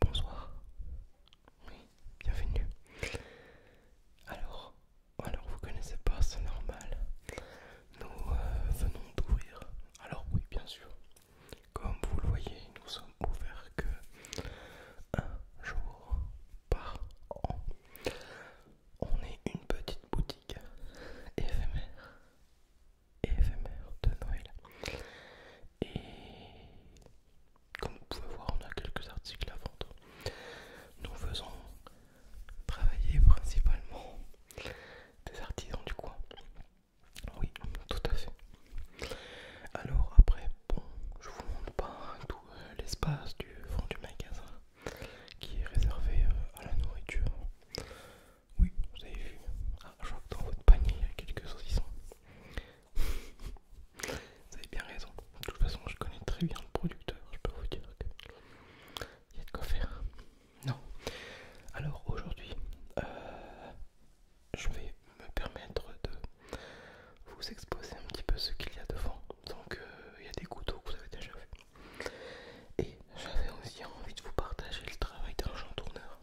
Bonsoir. Oui, bienvenue. Alors, alors vous connaissez pas, c'est normal. Nous euh, venons d'ouvrir. Alors oui, bien sûr. Comme vous le voyez, nous sommes ouverts que un jour par an on est une petite boutique éphémère, éphémère de Noël. Et comme vous pouvez voir, on a quelques articles à vendre. Nous faisons travailler principalement des artisans du coin. Oui, tout à fait. Alors après, bon, je vous montre pas tout euh, l'espace du fond du magasin qui est réservé euh, à la nourriture. Oui, vous avez vu. Ah, je vois que dans votre panier il y a quelques saucissons. vous avez bien raison. De toute façon, je connais très bien le producteur. Je peux vous dire qu'il y a de quoi faire. Non. Alors aujourd'hui, euh, je vais me permettre de vous exposer un petit peu ce qu'il y a devant. Donc, euh, il y a des couteaux que vous avez déjà vus. Et j'avais aussi envie de vous partager le travail d'un tourneur.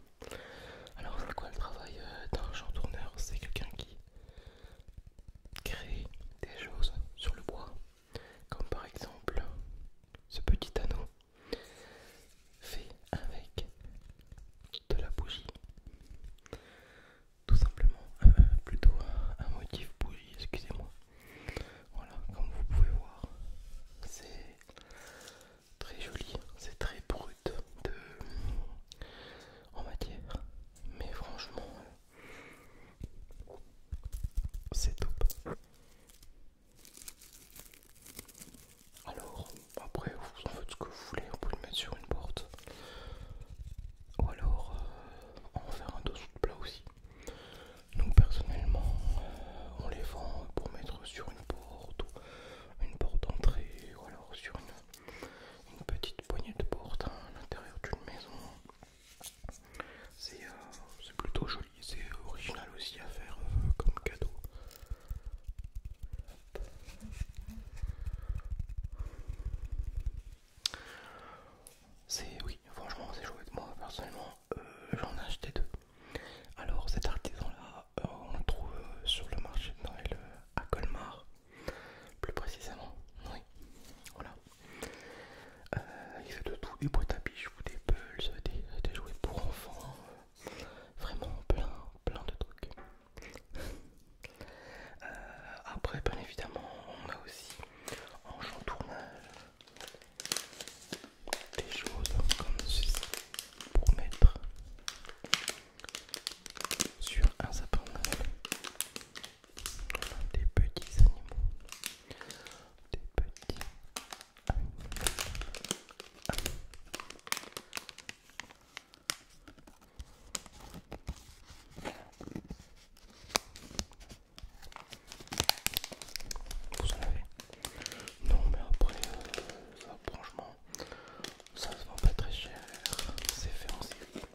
Alors c'est quoi le travail euh, d'un tourneur C'est quelqu'un qui crée des choses sur le bois, comme par exemple ce petit anneau fait avec de la bougie. Tout simplement, euh, plutôt un motif bougie, excusez-moi. Voilà, comme vous pouvez voir, c'est très joli, c'est très brut de, en matière, mais franchement, c'est top. Alors, après, vous en faites ce que vous voulez, On peut le mettre sur une porte. Ou alors, euh, on va faire un dessous de plat aussi. Donc personnellement, euh, on les vend pour mettre sur une porte une porte d'entrée ou alors sur une, petite poignée de porte à l'intérieur d'une maison. C'est euh, plutôt joli, c'est original aussi à faire euh, comme cadeau. C'est oui, franchement c'est joué de Moi personnellement, euh, j'en ai acheté deux. Alors cet artisan là, euh, on le trouve euh, sur le marché de Noël à Colmar, plus précisément. Oui, voilà. il fait de tout, des boîtes à bijoux, des pulls, des, des jouets pour enfants, vraiment plein, plein de trucs. Euh, après, bien évidemment, on a aussi en chantournage, des choses comme ceci pour mettre sur un sapin des petits animaux, des petits animaux. Vous en avez Non mais après euh, ça franchement ça se vend pas très cher, c'est fait en série.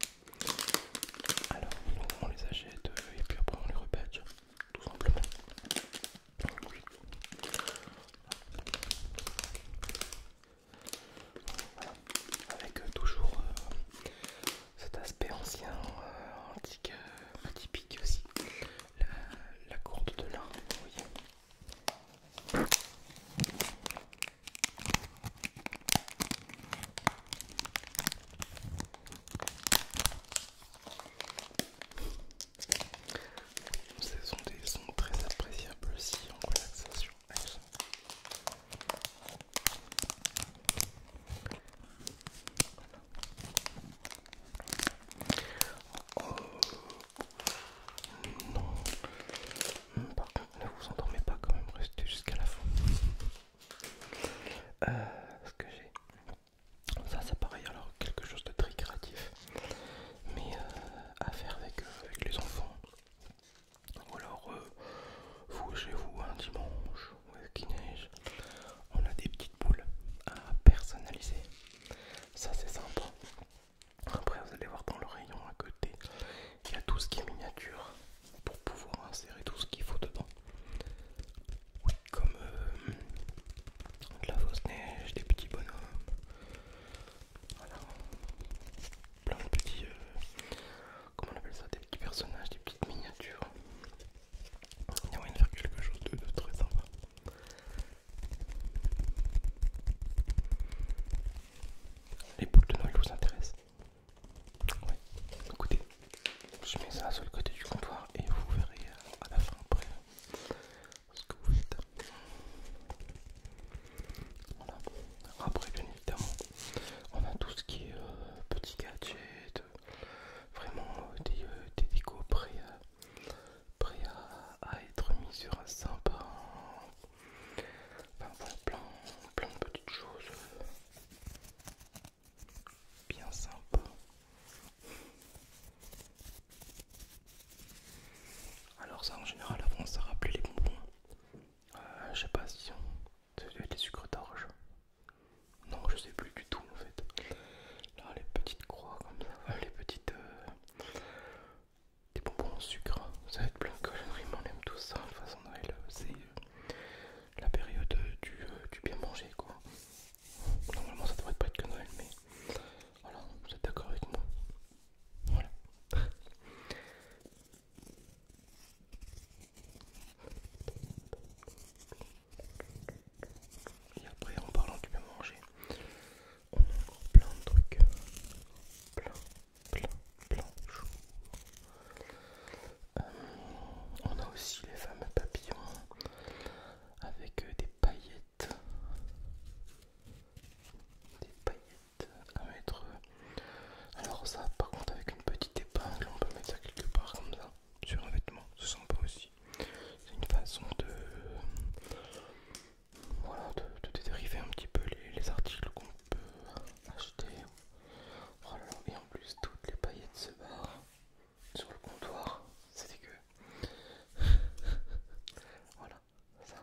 Alors on les achète euh, et puis après on les repète tout simplement. Avec euh, toujours euh, cet aspect ancien, euh, antique, atypique aussi. La, courte de lin, vous voyez. sont des sons très appréciables aussi en relaxation non, par ne vous endormez pas quand même, restez jusqu'à la fin. Euh, ce que j'ai, ça c'est pareil, alors quelque chose de très créatif, mais euh, à faire avec, euh, avec les enfants. Ou alors, euh, vous chez vous, un dimanche, où qui neige, on a des petites boules à personnaliser. Ça, c'est simple. Après, vous allez voir dans le rayon à côté, il y a tout ce qui est miniature pour pouvoir insérer tout ce qu'il faut dedans. Comme euh, de la fausse neige, des petits bonhommes, voilà, plein de petits, euh, comment on appelle ça, des petits personnages, des petites miniatures. Il y a moyen de faire quelque chose de, très sympa. Les boules de Noël vous intéressent Ouais, écoutez, je mets ça sur le côté du comptoir et vous verrez à la fin après ce que vous faites. Après, bien évidemment, on a tout ce qui est petit euh, petits gadgets, euh, vraiment euh, des, décos prêts, à, être mis sur un sympa. Enfin plein, plein de petites choses bien sympa alors ça en général avant ça rappelait les bonbons. Euh, je sais pas si on... des sucres d'orge. Non je sais plus du tout en fait. Là les petites croix comme ça, euh, les petites... Euh, des bonbons en sucre, ça va être plein de conneries, on aime tous ça. De façon Noël, c'est la période du, bien manger quoi. Normalement ça devrait pas être que Noël, mais voilà, vous êtes d'accord avec moi. Voilà. Et après, en parlant du bien manger, on a encore plein de trucs. Plein, plein, plein euh, on a aussi les fameux papillons avec euh, des paillettes des paillettes à mettre. Alors ça par contre avec une petite épingle on peut mettre ça quelque part comme ça sur un vêtement, c'est sympa aussi. C'est une façon de voilà de, dériver un petit peu les, articles qu'on peut acheter. Et en plus toutes les paillettes se barrent sur le comptoir, c'est dégueu voilà, ça.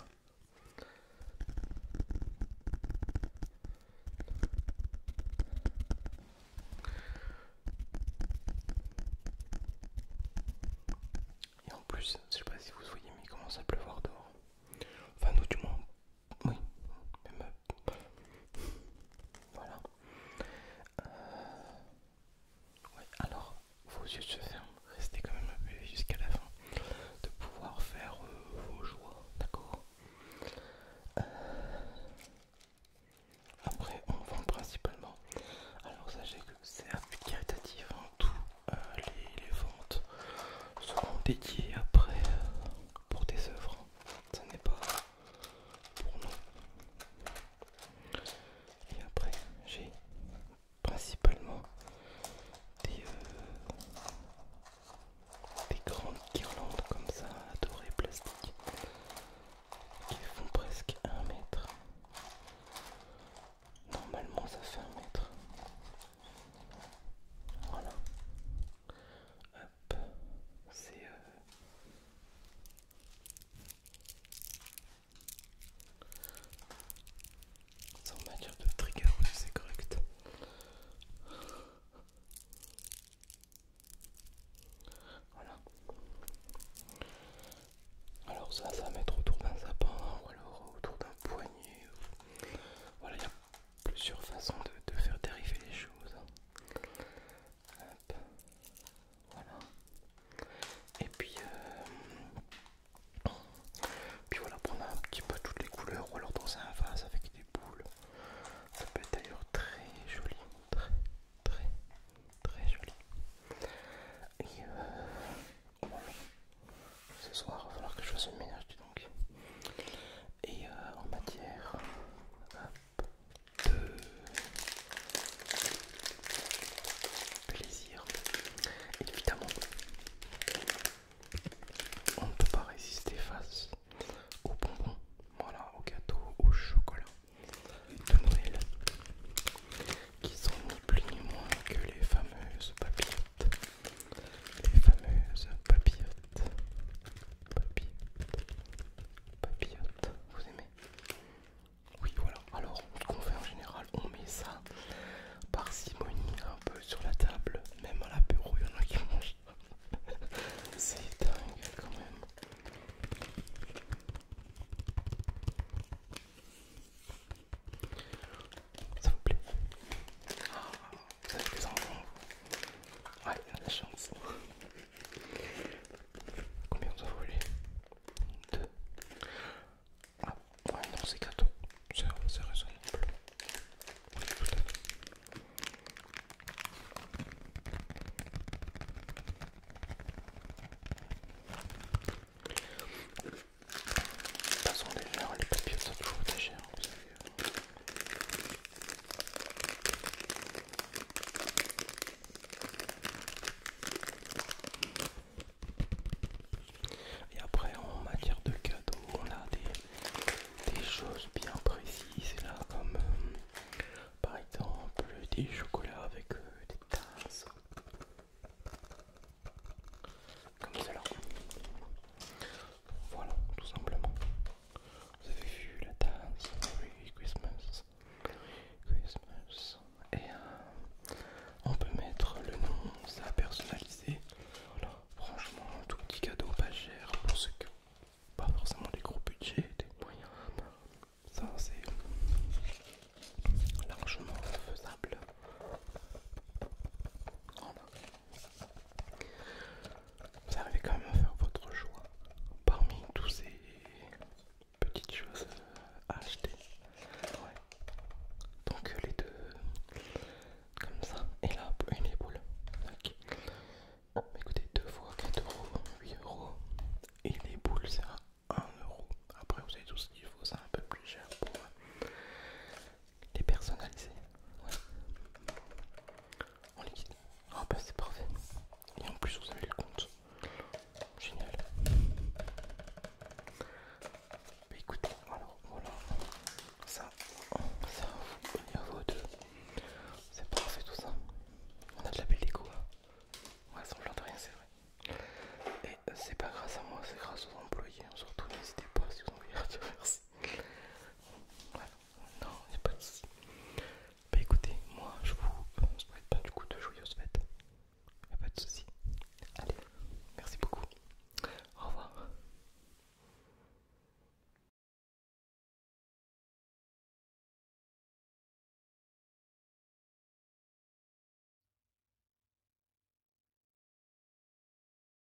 Et en plus, je sais pas si vous voyez, mais il commence à pleuvoir dehors. Enfin, nous, du moins, oui, euh, Voilà. Euh, Ouais. alors vos yeux se ferment, restez quand même peu jusqu'à la fin de pouvoir faire euh, vos joies, d'accord euh, Après, on vend principalement. Alors, sachez que c'est un but caritatif, hein. Toutes euh, les, ventes seront dédiées après pour des œuvres. Ce n'est pas pour nous. Et après, j'ai principalement des, euh, grandes guirlandes comme ça, dorées plastiques, qui font presque un mètre. Normalement, ça fait un mètre. Voilà. Hop, c'est euh, ça en matière de trigger c'est correct. Voilà. Alors ça, ça va mettre autour d'un sapin ou alors autour d'un poignet. Voilà, il y a plusieurs façons de, faire dériver les choses. Euh, voilà. Et puis, euh, puis voilà, prendre un petit peu toutes les couleurs ou alors dans un vase avec des boules. Ça peut être d'ailleurs très joli, très très très joli. Et euh, ce soir, il va falloir que je fasse le ménage, dis donc. Et euh, en matière, de plaisir. Évidemment, on ne peut pas résister face aux bonbons, voilà, aux gâteaux, au chocolat de Noël, qui sont ni plus ni moins que les fameuses papillotes. Les fameuses Papillotes vous aimez. Oui, voilà. Alors, ce qu'on fait en général, on met ça par simonie, un peu sur la table, même à l'apéro, il y en a qui mangent. C'est dingue quand même. Ça vous plaît ah, Vous avez plus Ouais, la chance. Combien ça Deux. Ah, ouais, non, c'est gâteau. C'est raisonnable. Oui, tout les papiers, sont toujours et après, en matière de cadeaux, on a des, choses bien précises là, comme euh, par exemple des chocolats avec euh, des tasses, comme cela. Voilà, tout simplement. Vous avez vu la danse Merry Christmas. Christmas. Et euh, on peut mettre le nom, ça personnalisé. Franchement, tout petit cadeau pas cher pour ceux qui pas forcément des gros budgets, des moyens. Ça, c'est largement faisable. Vous arrivez quand même à faire votre choix parmi tous ces petites choses à acheter. Donc les deux comme ça et là une éboule. Écoutez, deux fois 4 euros, 8 euros et les boules c'est 1 euro. Après vous avez tous ce qu'il faut, c'est un peu plus cher pour euh, les personnaliser. Ouais. En liquide. Ah bah c'est parfait. Et en plus vous avez le compte. Génial. Bah écoutez, alors voilà. Ça, ça vous niveau à deux. C'est parfait tout ça. On a de la belle déco. on hein. Ouais, ça de rien, c'est vrai. Et euh, c'est pas grâce à moi, c'est grâce aux employés. Hein. Surtout n'hésitez pas si vous envoyez à non, il pas de soucis. Bah écoutez, moi je vous souhaite pas du coup de joyeuses fêtes. Il n'y a pas de soucis. Allez, merci beaucoup. Au revoir.